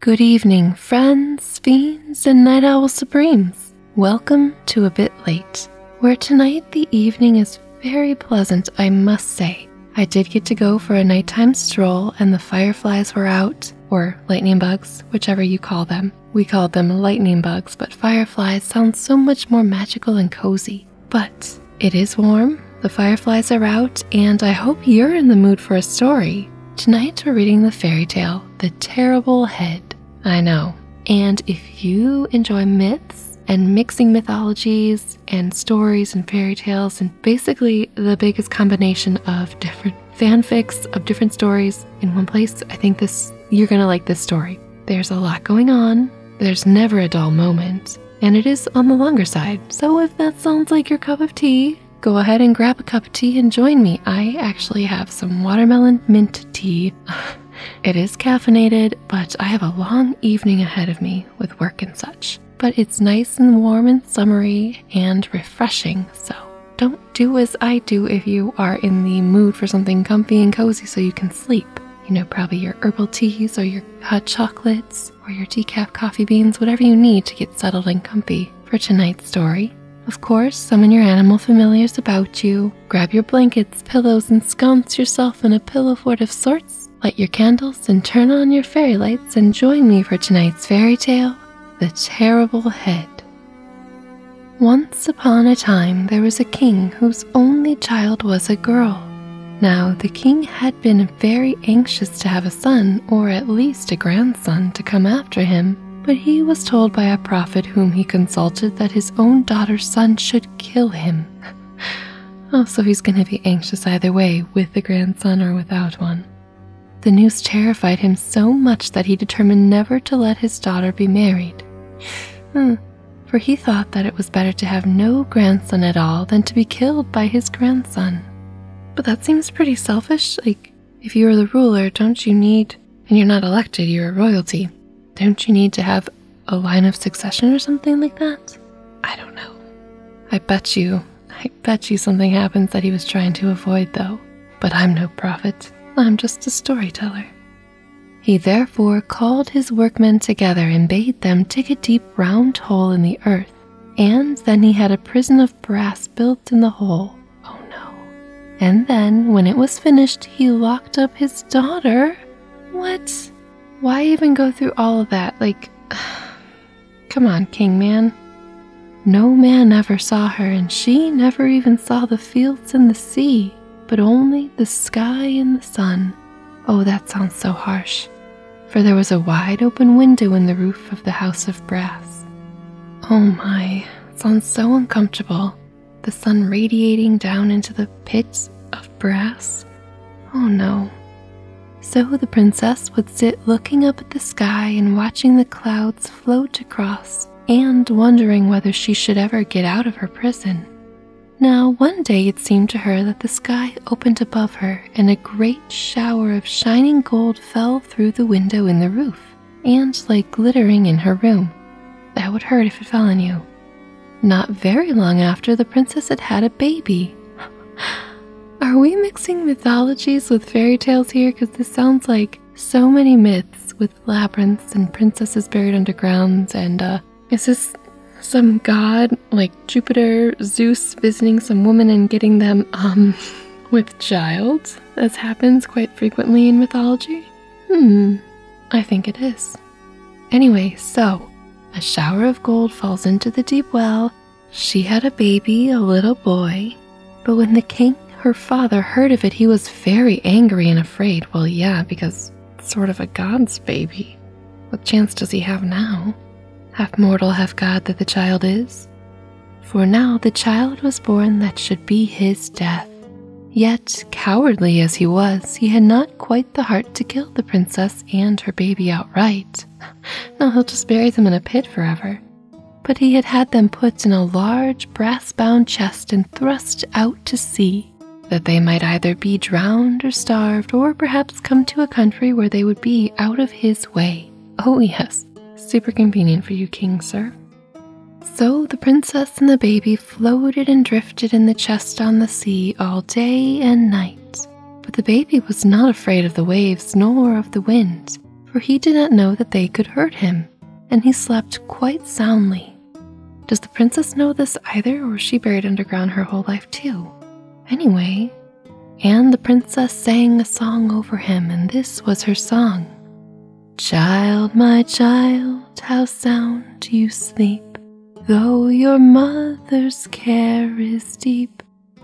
Good evening, friends, fiends, and night owl supremes. Welcome to A Bit Late, where tonight the evening is very pleasant, I must say. I did get to go for a nighttime stroll, and the fireflies were out, or lightning bugs, whichever you call them. We called them lightning bugs, but fireflies sound so much more magical and cozy. But it is warm, the fireflies are out, and I hope you're in the mood for a story. Tonight we're reading the fairy tale, The Terrible Head. I know. And if you enjoy myths and mixing mythologies and stories and fairy tales and basically the biggest combination of different fanfics of different stories in one place, I think this you're going to like this story. There's a lot going on. There's never a dull moment, and it is on the longer side. So if that sounds like your cup of tea, go ahead and grab a cup of tea and join me. I actually have some watermelon mint tea. it is caffeinated, but I have a long evening ahead of me with work and such. But it's nice and warm and summery and refreshing, so don't do as I do if you are in the mood for something comfy and cozy so you can sleep. You know, probably your herbal teas or your hot chocolates or your decaf coffee beans, whatever you need to get settled and comfy for tonight's story. Of course, summon your animal familiars about you, grab your blankets, pillows, and sconce yourself in a pillow fort of sorts, light your candles, and turn on your fairy lights, and join me for tonight's fairy tale The Terrible Head. Once upon a time, there was a king whose only child was a girl. Now, the king had been very anxious to have a son, or at least a grandson. Son to come after him, but he was told by a prophet whom he consulted that his own daughter's son should kill him. oh, so he's going to be anxious either way, with a grandson or without one. The news terrified him so much that he determined never to let his daughter be married. Hmm, for he thought that it was better to have no grandson at all than to be killed by his grandson. But that seems pretty selfish. Like, if you are the ruler, don't you need, and you're not elected, you're a royalty, don't you need to have a line of succession or something like that? I don't know. I bet you, I bet you something happens that he was trying to avoid, though. But I'm no prophet, I'm just a storyteller. He therefore called his workmen together and bade them dig a deep round hole in the earth and then he had a prison of brass built in the hole. Oh no. And then, when it was finished, he locked up his daughter. What? Why even go through all of that? Like, come on, King Man. No man ever saw her, and she never even saw the fields and the sea, but only the sky and the sun. Oh, that sounds so harsh. For there was a wide open window in the roof of the house of brass. Oh my, sounds so uncomfortable. The sun radiating down into the pits of brass. Oh no. So the princess would sit looking up at the sky and watching the clouds float across and wondering whether she should ever get out of her prison. Now, one day it seemed to her that the sky opened above her and a great shower of shining gold fell through the window in the roof and lay glittering in her room. That would hurt if it fell on you. Not very long after, the princess had had a baby. Are we mixing mythologies with fairy tales here? Because this sounds like so many myths with labyrinths and princesses buried underground. And uh, is this some god like Jupiter, Zeus visiting some woman and getting them, um, with child, as happens quite frequently in mythology? Hmm, I think it is. Anyway, so a shower of gold falls into the deep well. She had a baby, a little boy. But when the king, her father, heard of it, he was very angry and afraid. Well, yeah, because sort of a god's baby. What chance does he have now? Half mortal, half god that the child is. For now the child was born that should be his death. Yet, cowardly as he was, he had not quite the heart to kill the princess and her baby outright. No, he'll just bury them in a pit forever. But he had had them put in a large brass bound chest and thrust out to sea, that they might either be drowned or starved, or perhaps come to a country where they would be out of his way. Oh, yes, Super convenient for you, King, sir. So the princess and the baby floated and drifted in the chest on the sea all day and night. But the baby was not afraid of the waves nor of the wind, for he did not know that they could hurt him, and he slept quite soundly. Does the princess know this either, or was she buried underground her whole life too? Anyway, and the princess sang a song over him, and this was her song Child, my child, how sound you sleep. Though your mother's care is deep,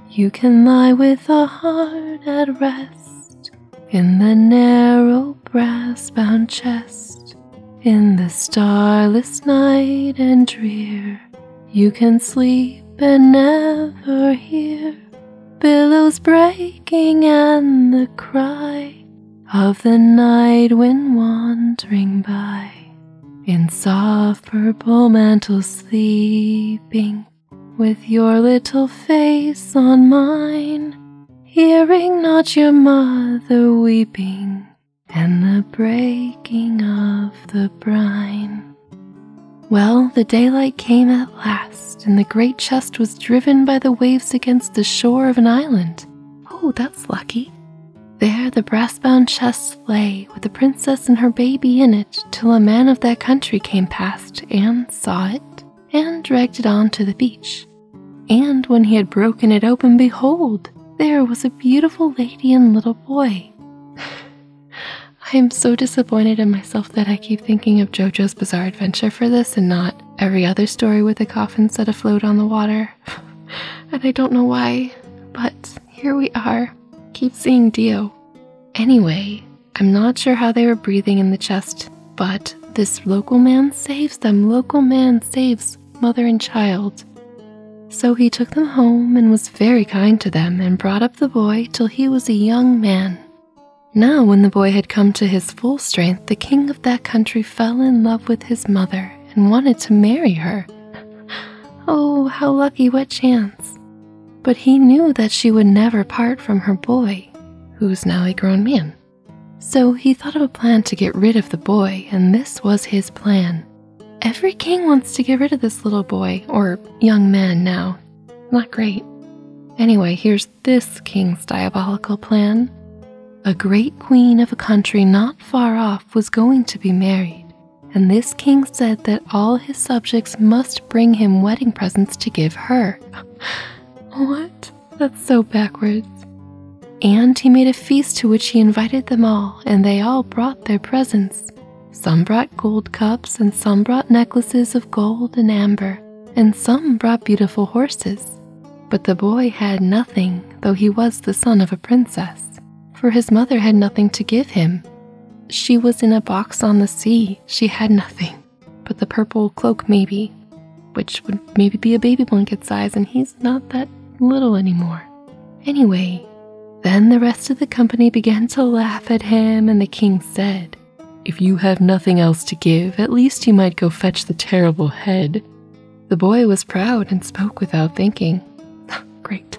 you can lie with a heart at rest in the narrow brass bound chest. In the starless night and drear, you can sleep and never hear billows breaking and the cry of the night wind wandering by in soft purple mantle sleeping with your little face on mine hearing not your mother weeping and the breaking of the brine well, the daylight came at last, and the great chest was driven by the waves against the shore of an island. Oh, that's lucky. There the brass bound chest lay, with the princess and her baby in it, till a man of that country came past and saw it, and dragged it on to the beach. And when he had broken it open, behold, there was a beautiful lady and little boy. I am so disappointed in myself that I keep thinking of JoJo's Bizarre Adventure for this and not every other story with a coffin set afloat on the water. and I don't know why, but here we are. Keep seeing Dio. Anyway, I'm not sure how they were breathing in the chest, but this local man saves them. Local man saves mother and child. So he took them home and was very kind to them and brought up the boy till he was a young man. Now, when the boy had come to his full strength, the king of that country fell in love with his mother and wanted to marry her. oh, how lucky, what chance! But he knew that she would never part from her boy, who was now a grown man. So he thought of a plan to get rid of the boy, and this was his plan. Every king wants to get rid of this little boy, or young man now, not great. Anyway, here's this king's diabolical plan. A great queen of a country not far off was going to be married, and this king said that all his subjects must bring him wedding presents to give her. what? That's so backwards. And he made a feast to which he invited them all, and they all brought their presents. Some brought gold cups, and some brought necklaces of gold and amber, and some brought beautiful horses. But the boy had nothing, though he was the son of a princess, for his mother had nothing to give him. She was in a box on the sea, she had nothing, but the purple cloak maybe, which would maybe be a baby blanket size, and he's not that little anymore. Anyway, then the rest of the company began to laugh at him, and the king said, if you have nothing else to give, at least you might go fetch the terrible head. The boy was proud and spoke without thinking. Great.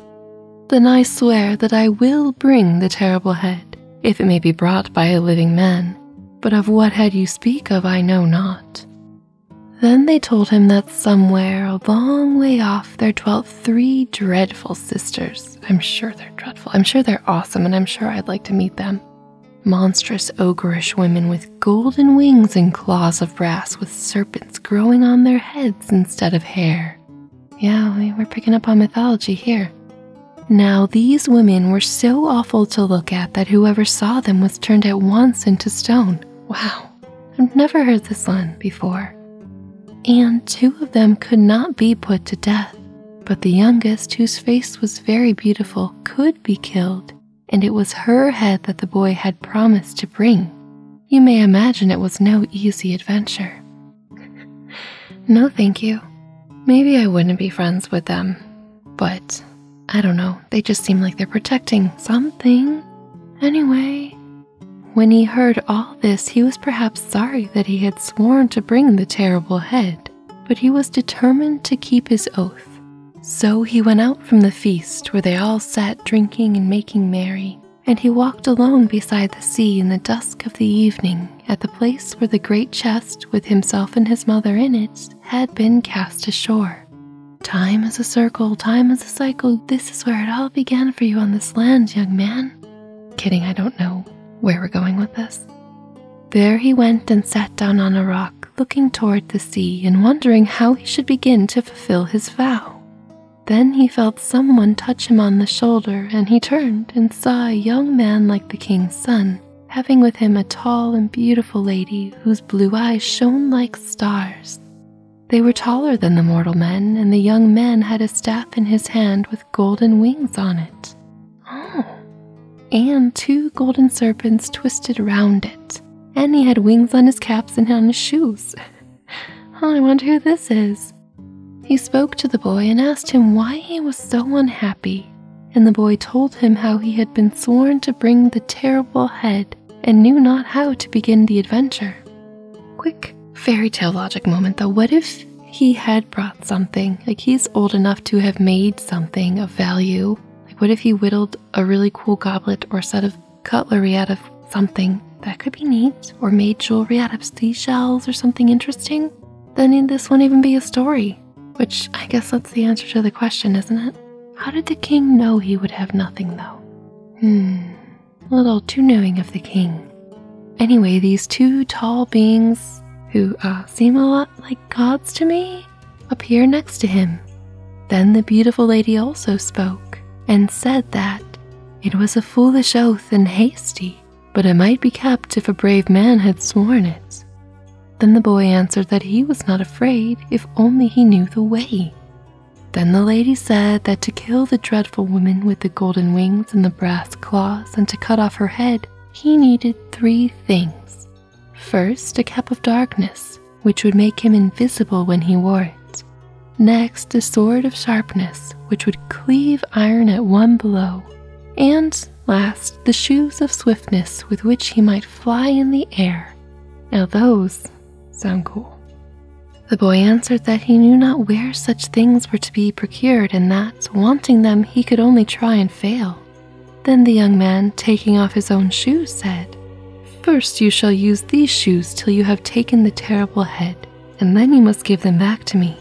Then I swear that I will bring the terrible head, if it may be brought by a living man. But of what head you speak of, I know not. Then they told him that somewhere, a long way off, there dwelt three dreadful sisters I'm sure they're dreadful. I'm sure they're awesome, and I'm sure I'd like to meet them. Monstrous, ogreish women with golden wings and claws of brass, with serpents growing on their heads instead of hair. Yeah, we are picking up on mythology here. Now, these women were so awful to look at that whoever saw them was turned at once into stone. Wow, I've never heard this one before. And two of them could not be put to death, but the youngest, whose face was very beautiful, could be killed, and it was her head that the boy had promised to bring. You may imagine it was no easy adventure. no, thank you. Maybe I wouldn't be friends with them, but I don't know, they just seem like they're protecting something. Anyway, when he heard all this, he was perhaps sorry that he had sworn to bring the terrible head, but he was determined to keep his oath. So he went out from the feast where they all sat drinking and making merry, and he walked alone beside the sea in the dusk of the evening at the place where the great chest with himself and his mother in it had been cast ashore. Time is a circle, time is a cycle. This is where it all began for you on this land, young man, Kidding, I don't know where we're going with this. There he went and sat down on a rock, looking toward the sea and wondering how he should begin to fulfill his vow. Then he felt someone touch him on the shoulder, and he turned and saw a young man like the king's son, having with him a tall and beautiful lady whose blue eyes shone like stars. They were taller than the mortal men, and the young man had a staff in his hand with golden wings on it. Oh. And two golden serpents twisted around it. And he had wings on his caps and on his shoes. Oh, I wonder who this is. He spoke to the boy and asked him why he was so unhappy. And the boy told him how he had been sworn to bring the terrible head and knew not how to begin the adventure. Quick fairy tale logic moment though. What if he had? brought something. Like he's old enough to have made something of value. Like what if he whittled a really cool goblet or set of cutlery out of something that could be neat or made jewelry out of seashells or something interesting? Then this wouldn't even be a story. Which I guess that's the answer to the question, isn't it? How did the king know he would have nothing though? Hmm, a little too knowing of the king. Anyway, these two tall beings who uh, seem a lot like gods to me? Appear next to him. Then the beautiful lady also spoke, and said that it was a foolish oath and hasty, but it might be kept if a brave man had sworn it. Then the boy answered that he was not afraid if only he knew the way. Then the lady said that to kill the dreadful woman with the golden wings and the brass claws and to cut off her head he needed three things. First, a cap of darkness, which would make him invisible when he wore it. Next, a sword of sharpness, which would cleave iron at one blow. And last, the shoes of swiftness with which he might fly in the air. Now, those sound cool. The boy answered that he knew not where such things were to be procured, and that, wanting them, he could only try and fail. Then the young man, taking off his own shoes, said, First you shall use these shoes till you have taken the terrible head, and then you must give them back to me.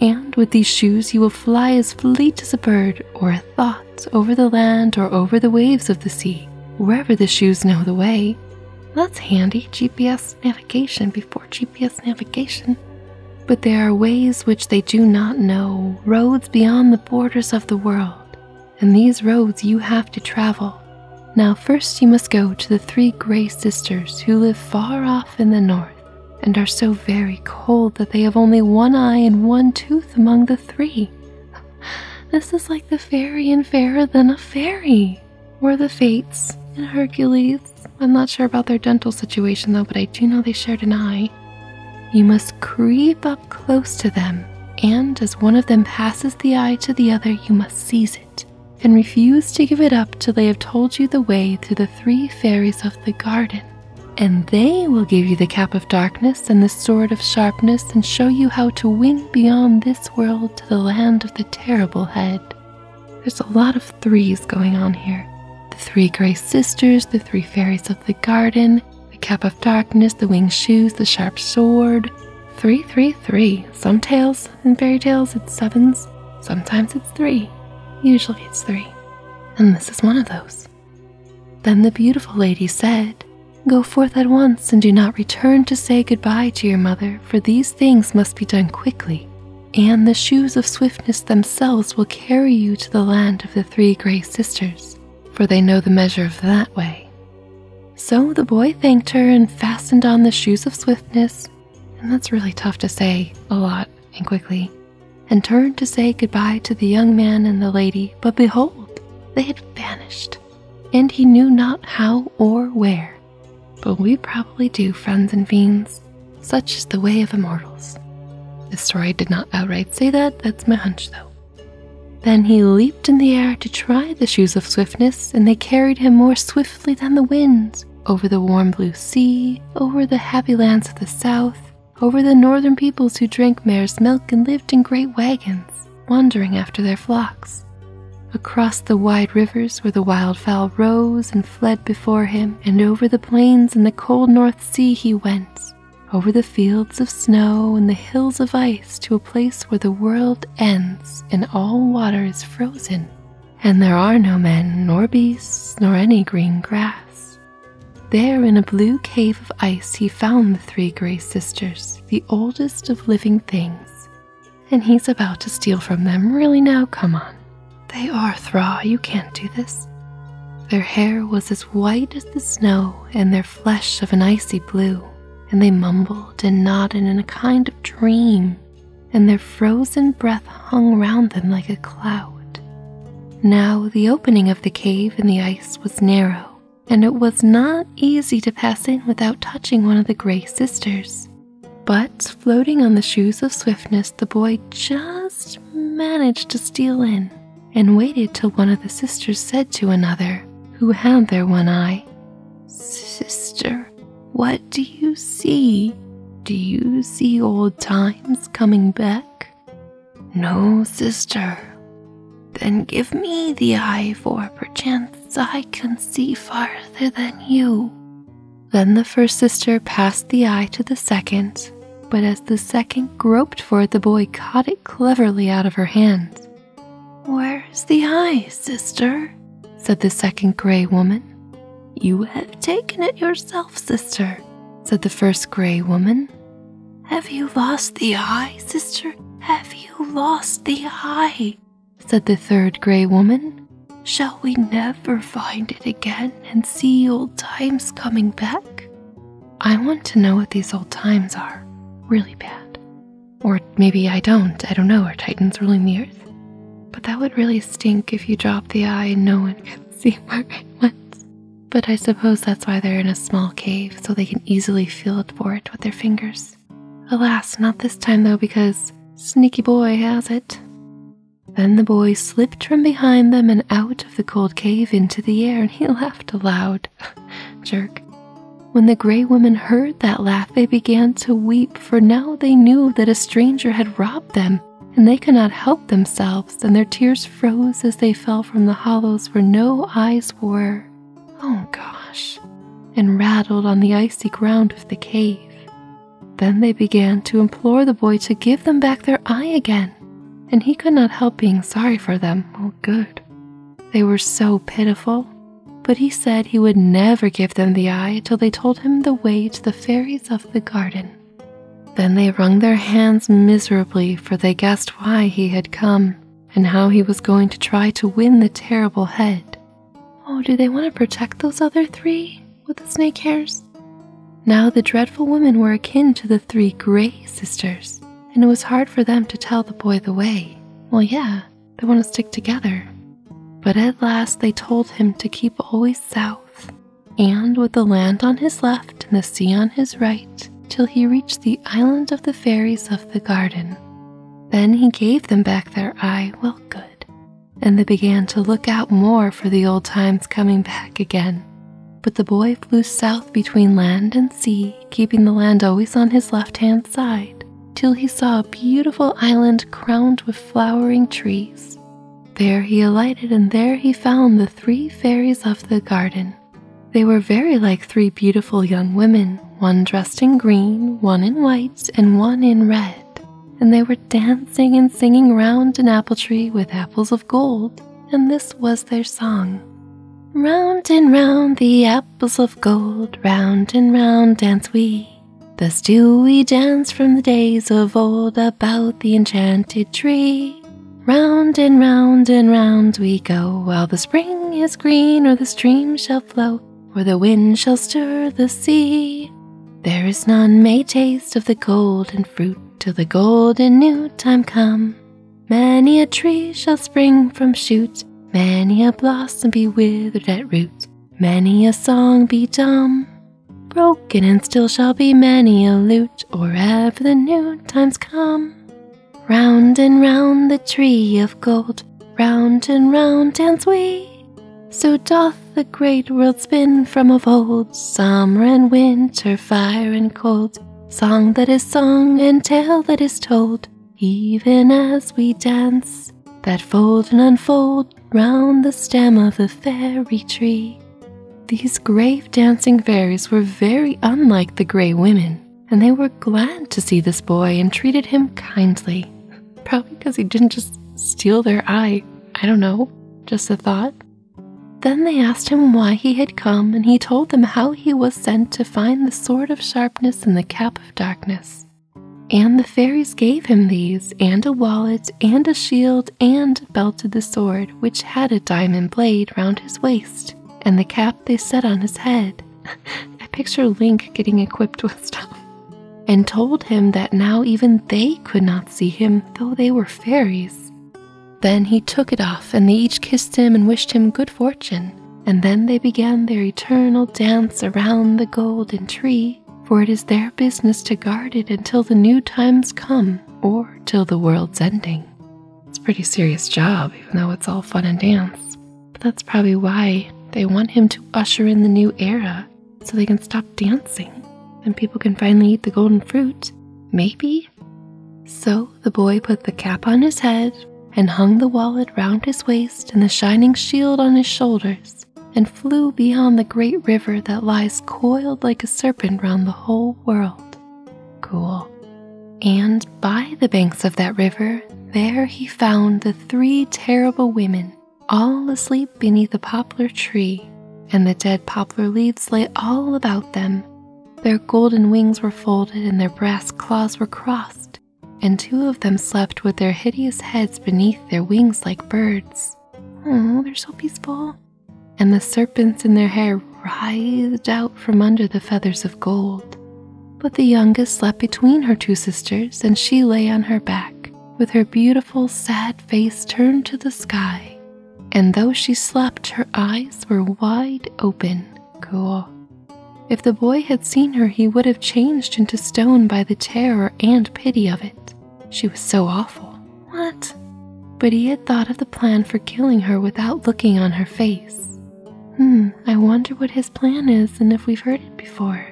And with these shoes you will fly as fleet as a bird or a thought over the land or over the waves of the sea, wherever the shoes know the way. That's handy GPS navigation before GPS navigation, but there are ways which they do not know, roads beyond the borders of the world, and these roads you have to travel. Now, first you must go to the three gray sisters who live far off in the north and are so very cold that they have only one eye and one tooth among the three. This is like the fairy and Fairer Than a Fairy, or the Fates in Hercules. I'm not sure about their dental situation though, but I do know they shared an eye. You must creep up close to them, and as one of them passes the eye to the other, you must seize it and refuse to give it up till they have told you the way to the three fairies of the garden. And they will give you the cap of darkness and the sword of sharpness and show you how to win beyond this world to the land of the terrible head. There's a lot of threes going on here the three gray sisters, the three fairies of the garden, the cap of darkness, the winged shoes, the sharp sword. Three, three, three. Some tales and fairy tales it's sevens, sometimes it's three. Usually it's three. And this is one of those. Then the beautiful lady said, Go forth at once and do not return to say goodbye to your mother, for these things must be done quickly and the shoes of swiftness themselves will carry you to the land of the three grey sisters, for they know the measure of that way. So the boy thanked her and fastened on the shoes of swiftness, and that's really tough to say a lot and quickly, and turned to say goodbye to the young man and the lady, but behold, they had vanished, and he knew not how or where. But we probably do, friends and fiends. Such is the way of immortals. The story did not outright say that, that's my hunch though. Then he leaped in the air to try the shoes of swiftness, and they carried him more swiftly than the winds, over the warm blue sea, over the happy lands of the south, over the northern peoples who drank mare's milk and lived in great wagons, wandering after their flocks. Across the wide rivers where the wildfowl rose and fled before him, and over the plains in the cold north See, he went, over the fields of snow and the hills of ice to a place where the world ends and all water is frozen, and there are no men, nor beasts, nor any green grass. There in a blue cave of ice he found the three grey sisters, the oldest of living things. And he's about to steal from them, really now, come on. They are Thra, you can't do this. Their hair was as white as the snow, and their flesh of an icy blue, and they mumbled and nodded in a kind of dream, and their frozen breath hung round them like a cloud. Now the opening of the cave in the ice was narrow, and it was not easy to pass in without touching one of the gray sisters. But floating on the shoes of swiftness, the boy just managed to steal in and waited till one of the sisters said to another, who had their one eye, Sister, what do you see? Do you see old times coming back? No, sister. Then give me the eye, for perchance I can see farther than you. Then the first sister passed the eye to the second, but as the second groped for it, the boy caught it cleverly out of her hands. Where's the eye, sister? said the second gray woman. You have taken it yourself, sister, said the first gray woman. Have you lost the eye, sister? Have you lost the eye? said the third gray woman. Shall we never?" ever find it again and see old times coming back? I want to know what these old times are, really bad. Or maybe I don't, I don't know, are Titans ruling the earth? But that would really stink if you drop the eye and no one can see where it went. But I suppose that's why they're in a small cave, so they can easily feel it for it with their fingers. Alas, not this time though, because Sneaky Boy has it. Then the boy slipped from behind them and out of the cold cave into the air, and he laughed aloud. Jerk. When the gray women heard that laugh, they began to weep, for now they knew that a stranger had robbed them, and they could not help themselves, and their tears froze as they fell from the hollows where no eyes were. Oh gosh! And rattled on the icy ground of the cave. Then they began to implore the boy to give them back their eye again, and he could not help being sorry for them. Oh, good. They were so pitiful. But he said he would never give them the eye till they told him the way to the fairies of the garden. Then they wrung their hands miserably, for they guessed why he had come and how he was going to try to win the terrible head. Oh, do they want to protect those other three? with the snake hairs. Now the dreadful women were akin to the three gray sisters, and it was hard for them to tell the boy the way. Well, yeah, they want to stick together. But at last they told him to keep always south, and with the land on his left and the sea on his right, till he reached the island of the fairies of the garden. Then he gave them back their eye well good, and they began to look out more for the old times coming back again. But the boy flew south between land and sea, keeping the land always on his left hand side, till he saw a beautiful island crowned with flowering trees. There he alighted, and there he found the three fairies of the garden. They were very like three beautiful young women, one dressed in green, one in white, and one in red, and they were dancing and singing round an apple tree with apples of gold, and this was their song. Round and round the apples of gold, round and round dance we. Thus do we dance from the days of old about the enchanted tree. Round and round and round we go, while the spring is green, or the stream shall flow, or the wind shall stir the sea. There is none may taste of the golden fruit till the golden new time come. Many a tree shall spring from shoot, many a blossom be withered at root, many a song be dumb. Broken and still shall be many a lute, or ever the new times come. Round and round the tree of gold, round and round dance we. So doth the great world spin from of old summer and winter, fire and cold, song that is sung and tale that is told, even as we dance, that fold and unfold round the stem of the fairy tree. These grave dancing fairies were very unlike the grey women, and they were glad to see this boy and treated him kindly. Probably because he didn't just steal their eye. I don't know, just a thought. Then they asked him why he had come, and he told them how he was sent to find the sword of sharpness and the cap of darkness. And the fairies gave him these, and a wallet, and a shield, and belted the sword, which had a diamond blade round his waist, and the cap they set on his head. I picture Link getting equipped with stuff. And told him that now even they could not see him, though they were fairies. Then he took it off, and they each kissed him and wished him good fortune. And then they began their eternal dance around the golden tree, for it is their business to guard it until the new times come, or till the world's ending. It's a pretty serious job, even though it's all fun and dance. But that's probably why they want him to usher in the new era, so they can stop dancing and people can finally eat the golden fruit. Maybe. So the boy put the cap on his head and hung the wallet round his waist and the shining shield on his shoulders and flew beyond the great river that lies coiled like a serpent round the whole world. Cool. And by the banks of that river, there he found the three terrible women all asleep beneath a poplar tree, and the dead poplar leaves lay all about them. Their golden wings were folded, and their brass claws were crossed, and two of them slept with their hideous heads beneath their wings like birds. Oh, they're so peaceful. And the serpents in their hair writhed out from under the feathers of gold. But the youngest slept between her two sisters, and she lay on her back, with her beautiful, sad face turned to the sky, and though she slept, her eyes were wide open. Cool. If the boy had seen her, he would have changed into stone by the terror and pity of it. She was so awful. What? But he had thought of the plan for killing her without looking on her face. Hmm, I wonder what his plan is and if we've heard it before.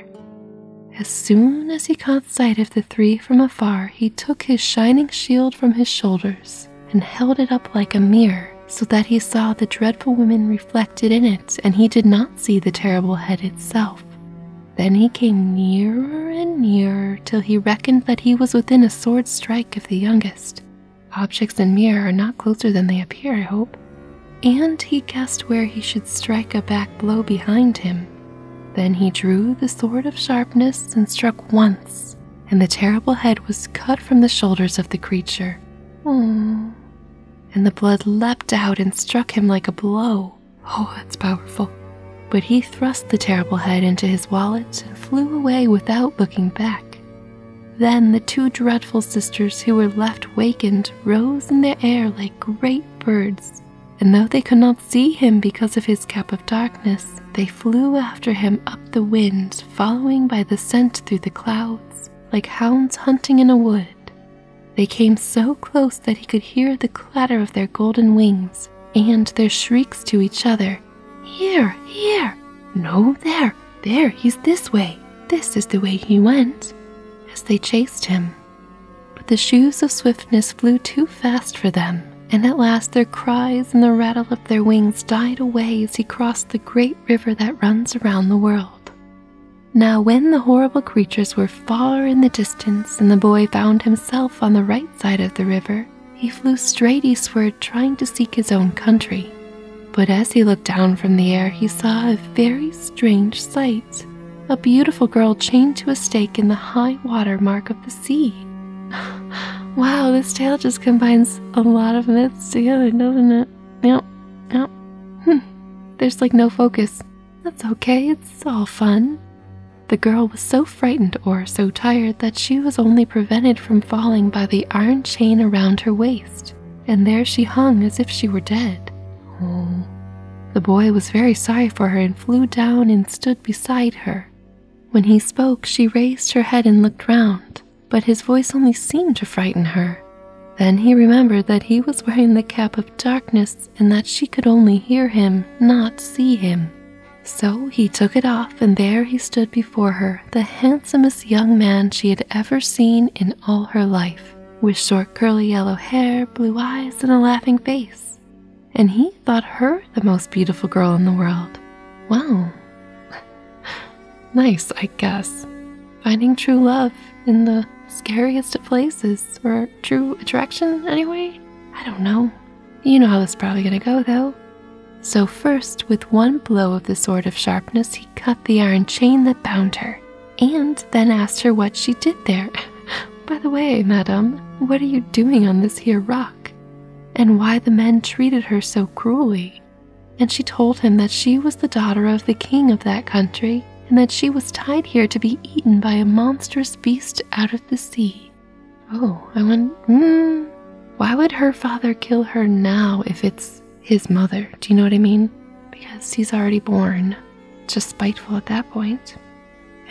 As soon as he caught sight of the three from afar, he took his shining shield from his shoulders and held it up like a mirror so that he saw the dreadful women reflected in it and he did not see the terrible head itself. Then he came nearer and nearer till he reckoned that he was within a sword's strike of the youngest. Objects in mirror are not closer than they appear, I hope. And he guessed where he should strike a back blow behind him. Then he drew the sword of sharpness and struck once, and the terrible head was cut from the shoulders of the creature. And the blood leapt out and struck him like a blow. Oh, that's powerful. But he thrust the terrible head into his wallet and flew away without looking back. Then the two dreadful sisters who were left wakened rose in the air like great birds, and though they could not see him because of his cap of darkness, they flew after him up the wind, following by the scent through the clouds, like hounds hunting in a wood. They came so close that he could hear the clatter of their golden wings and their shrieks to each other Here, here! No, there, there, he's this way. This is the way he went, as they chased him. But the shoes of swiftness flew too fast for them, and at last their cries and the rattle of their wings died away as he crossed the great river that runs around the world. Now, when the horrible creatures were far in the distance and the boy found himself on the right side of the river, he flew straight eastward trying to seek his own country. But as he looked down from the air, he saw a very strange sight a beautiful girl chained to a stake in the high water mark of the the Wow, this tale just combines a lot of myths together, doesn't it? Yep, yep. Hmm. There's like no focus. That's okay, it's all fun. The girl was so frightened or so tired that she was only prevented from falling by the iron chain around her waist, and there she hung as if she were dead. Oh. The boy was very sorry for her and flew down and stood beside her. When he spoke, she raised her head and looked round, but his voice only seemed to frighten her. Then he remembered that he was wearing the cap of darkness and that she could only hear him, not see him. So he took it off, and there he stood before her, the handsomest young man she had ever seen in all her life, with short curly yellow hair, blue eyes, and a laughing face and he thought her the most beautiful girl in the world. Well, nice, I guess. Finding true love in the scariest of places, or true attraction, anyway? I don't know. You know how this is probably gonna go, though. So, first, with one blow of the sword of sharpness, he cut the iron chain that bound her, and then asked her what she did there. By the way, madam, what are you doing on this here rock? and why the men treated her so cruelly. And she told him that she was the daughter of the king of that country, and that she was tied here to be eaten by a monstrous beast out of the sea. Oh, I went, hmm, why would her father kill her now if it's his mother? Do you know what I mean? Because he's already born. Just spiteful at that point.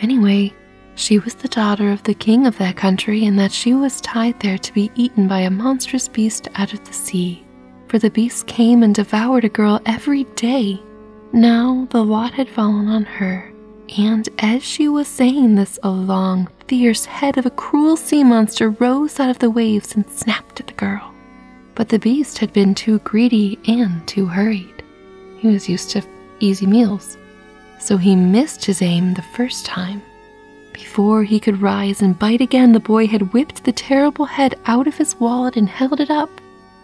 Anyway, she was the daughter of the king of that country, and that she was tied there to be eaten by a monstrous beast out of the sea. For the beast came and devoured a girl every day. Now the lot had fallen on her, and as she was saying this, a long, fierce head of a cruel sea monster rose out of the waves and snapped at the girl. But the beast had been too greedy and too hurried. He was used to easy meals, so he missed his aim the first time. Before he could rise and bite again, the boy had whipped the terrible head out of his wallet and held it up.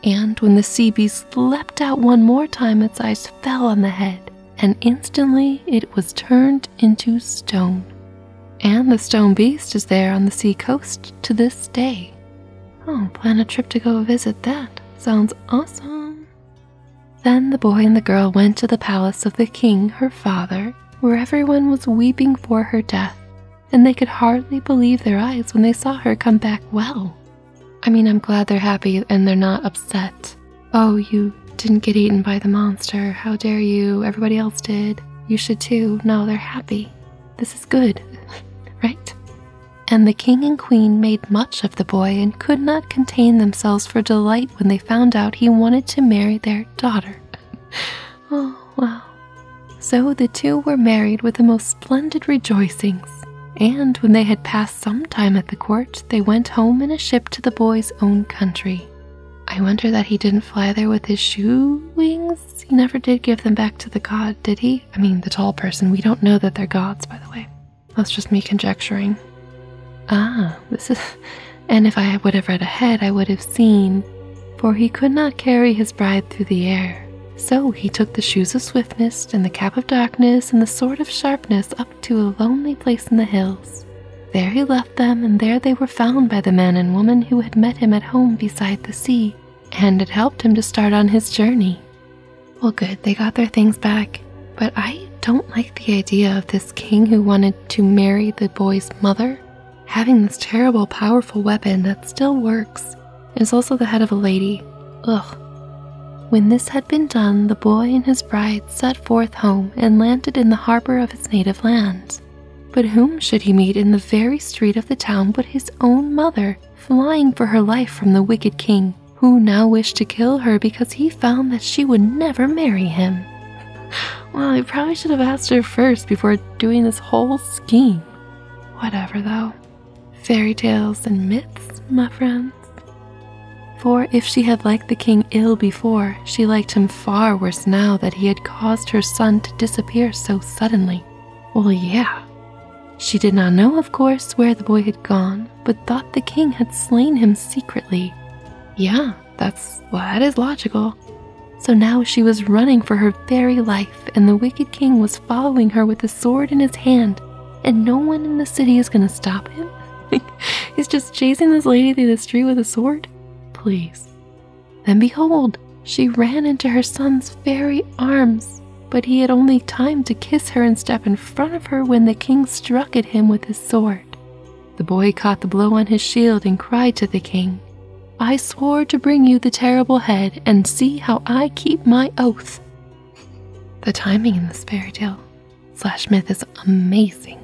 And when the sea beast leapt out one more time, its eyes fell on the head, and instantly it was turned into stone. And the stone beast is there on the sea coast to this day. Oh, plan a trip to go visit that. Sounds awesome. Then the boy and the girl went to the palace of the king, her father, where everyone was weeping for her death, and they could hardly believe their eyes when they saw her come back well. I mean, I'm glad they're happy and they're not upset. Oh, you didn't get eaten by the monster. How dare you? Everybody else did. You should too. No, they're happy. This is good, right? And the king and queen made much of the boy and could not contain themselves for delight when they found out he wanted to marry their daughter. oh, wow. So the two were married with the most splendid rejoicings. And when they had passed some time at the court, they went home in a ship to the boy's own country. I wonder that he didn't fly there with his shoe wings. He never did give them back to the god, did he? I mean, the tall person. We don't know that they're gods, by the way. That's just me conjecturing. Ah, this is. And if I would have read ahead, I would have seen. For he could not carry his bride through the air. So he took the shoes of swiftness, and the cap of darkness, and the sword of sharpness up to a lonely place in the hills. There he left them, and there they were found by the man and woman who had met him at home beside the sea, and had helped him to start on his journey. Well, good, they got their things back, but I don't like the idea of this king who wanted to marry the boy's mother. Having this terrible, powerful weapon that still works is also the head of a lady. Ugh. When this had been done, the boy and his bride set forth home and landed in the harbor of his native land. But whom should he meet in the very street of the town but his own mother, flying for her life from the wicked king? who now wished to kill her because he found that she would never marry him. Well, he probably should have asked her first before doing this whole scheme. Whatever, though. Fairy tales and myths, my friends. For if she had liked the king ill before, she liked him far worse now that he had caused her son to disappear so suddenly. Well, yeah. She did not know, of course, where the boy had gone, but thought the king had slain him secretly. Yeah, that's well, that is logical. So now she was running for her very life, and the wicked king was following her with a sword in his hand, and no one in the city is gonna stop him? He's just chasing this lady through the street with a sword? Please. Then behold, she ran into her son's very arms, but he had only time to kiss her and step in front of her when the king struck at him with his sword. The boy caught the blow on his shield and cried to the king, I swore to bring you the terrible head, and see how I keep my oath. The timing in this fairy tale slash myth is amazing.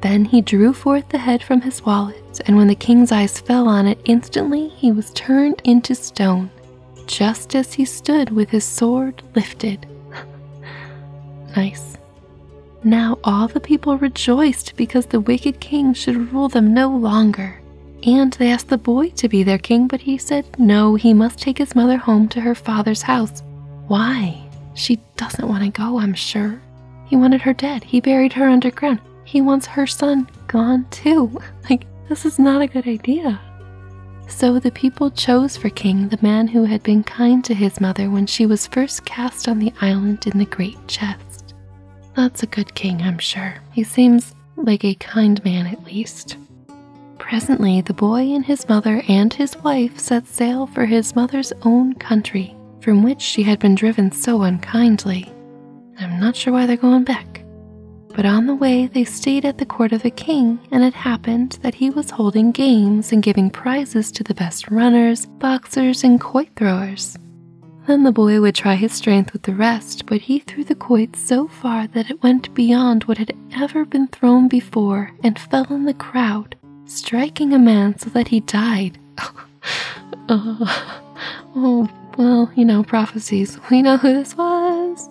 Then he drew forth the head from his wallet, and when the king's eyes fell on it, instantly he was turned into stone, just as he stood with his sword lifted. nice. Now all the people rejoiced because the wicked king should rule them no longer. And they asked the boy to be their king, but he said no, he must take his mother home to her father's house. Why? She doesn't want to go, I'm sure. He wanted her dead. He buried her underground. He wants her son gone too. Like, this is not a good idea. So the people chose for king the man who had been kind to his mother when she was first cast on the island in the great chest. That's a good king, I'm sure. He seems like a kind man at least. Presently, the boy and his mother and his wife set sail for his mother's own country, from which she had been driven so unkindly. I'm not sure why they're going back. But on the way, they stayed at the court of a king and it happened that he was holding games and giving prizes to the best runners, boxers, and quoit throwers. Then the boy would try his strength with the rest, but he threw the quoit so far that it went beyond what had ever been thrown before and fell on the crowd, striking a man so that he died. Oh, oh, well, you know, prophecies. We know who this was.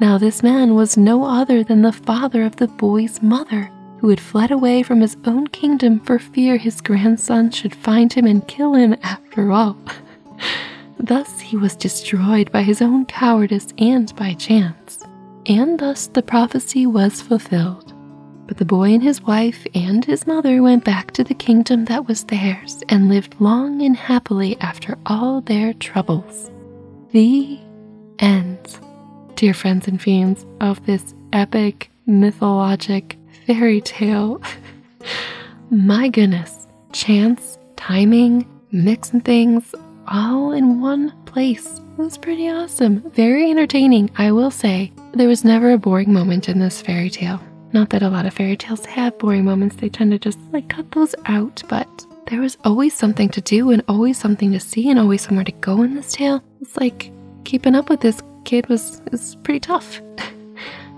Now, this man was no other than the father of the boy's mother, who had fled away from his own kingdom for fear his grandson should find him and kill him after all. thus he was destroyed by his own cowardice and by chance. And thus the prophecy was fulfilled. But the boy and his wife and his mother went back to the kingdom that was theirs and lived long and happily after all their troubles. The ends. Dear friends and fiends of this epic, mythologic fairy tale, my goodness, chance, timing, mixing things all in one place. It was pretty awesome. Very entertaining, I will say. There was never a boring moment in this fairy tale. Not that a lot of fairy tales have boring moments, they tend to just like cut those out, but there was always something to do and always something to see and always somewhere to go in this tale. It's like keeping up with this kid was is pretty tough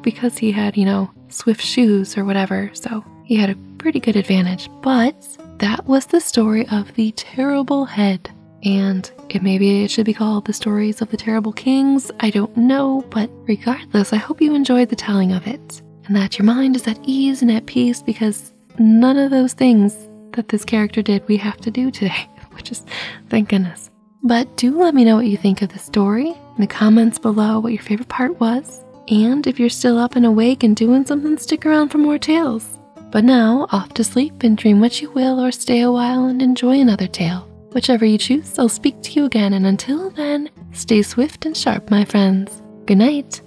because he had, you know, swift shoes or whatever. So, he had a pretty good advantage. But that was the story of the terrible head. And it maybe it should be called the stories of the terrible kings. I don't know, but regardless, I hope you enjoyed the telling of it and that your mind is at ease and at peace because none of those things that this character did we have to do today, which is thank goodness. But do let me know what you think of the story in the comments below, what your favorite part was. And if you're still up and awake and doing something, stick around for more tales. But now, off to sleep and dream what you will, or stay a while and enjoy another tale. Whichever you choose, I'll speak to you again, and until then, stay swift and sharp, my friends. Good night.